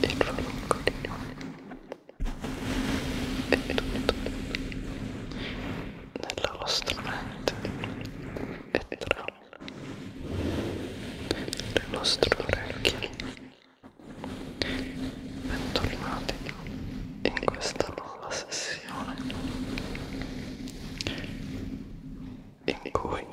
e il falunco di nella vostra mente e tra le nostre orecchie bentornati in questa nuova sessione in cui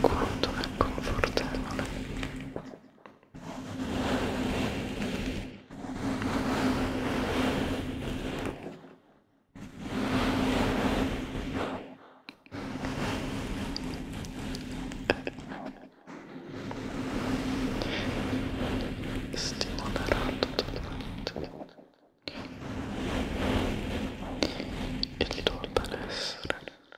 quanto è confortevole eh. stimolerà totalmente il tuo benessere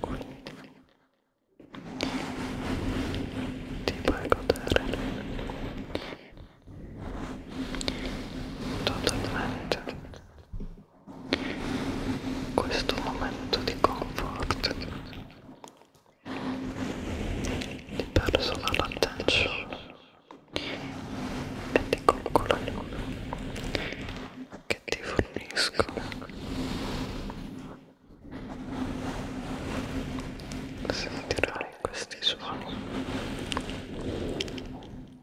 Quindi ti puoi godere totalmente questo momento di comfort personal attention e di coccole che ti fornisco sentirai questi suoni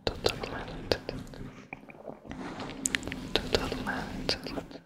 totalmente totalmente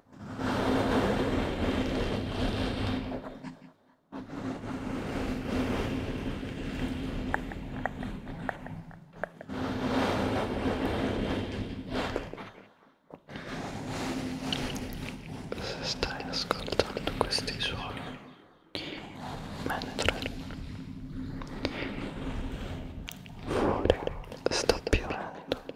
Se stai ascoltando questi suoni mentre fuori sta piovendo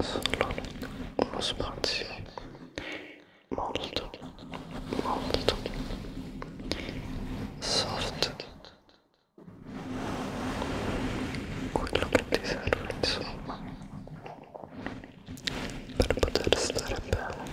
solo uno spazio molto molto soft quello che ti serve insomma per poter stare bene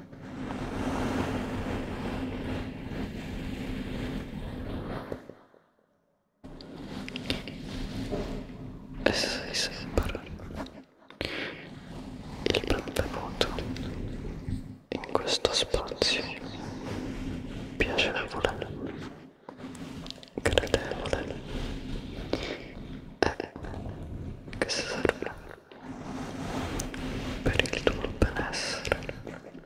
E sei sempre il benvenuto in questo spazio piacevole, gradevole e eh, che serve per il tuo benessere.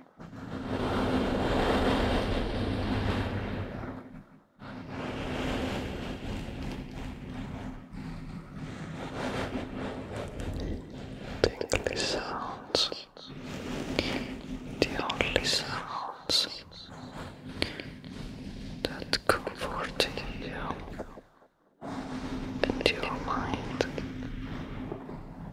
Tingly sounds, the only sounds that comfort you and your mind.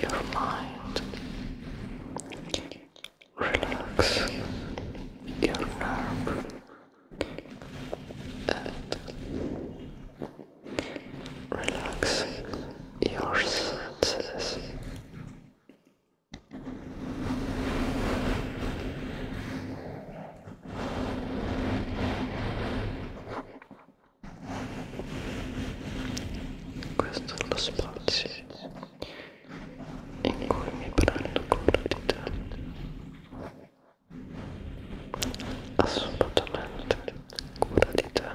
your mind, relax your nerve relax your senses. Questo è lo spazio in cui mi prendo cura di te. Assolutamente cura di te.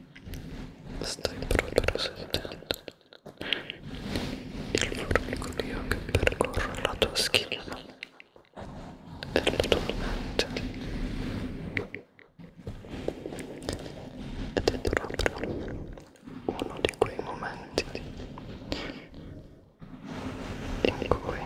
stai proprio sentendo il formicolio che percorre la tua schiena e la tua mente ed è proprio uno di quei momenti in cui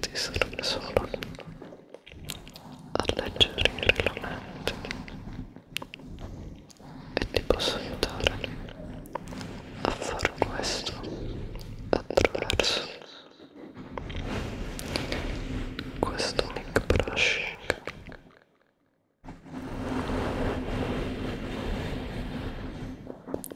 ti serve solo alleggerire la mente e ti posso aiutare a fare questo attraverso questo mic brushing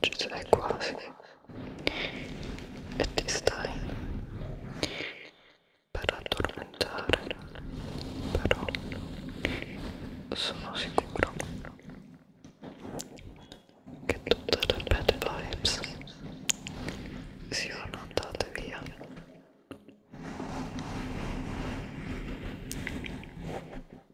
ci sei quasi e ti stai per addormentare però sono sicuro che tutte le bad vibes siano andate via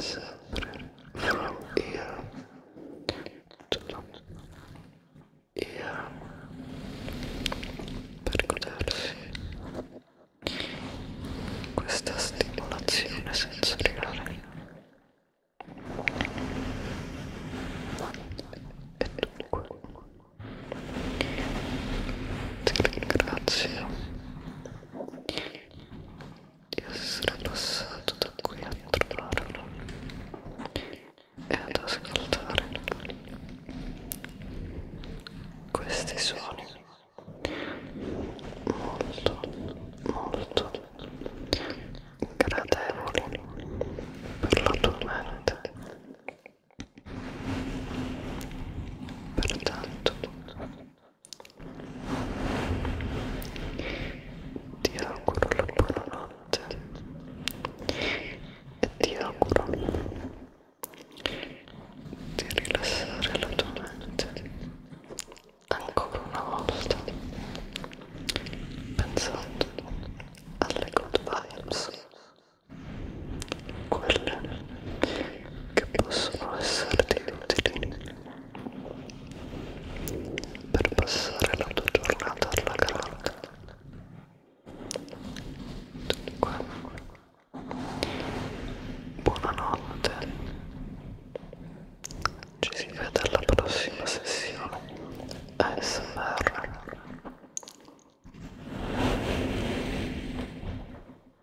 sempre from here to here per godersi questa stimolazione sensoriale e dunque ti ringrazio di essere passato da qui a trovarlo e ad ascoltare questi suoni molto molto gradevoli per la tua mente pertanto ti auguro la buonanotte e ti auguro di rilassare la tua mente ancora una volta pensando alle good vibes quelle che possono esserti utili per passare la tua giornata alla grande dunque buonanotte ci si vede alla prossima sessione ASMR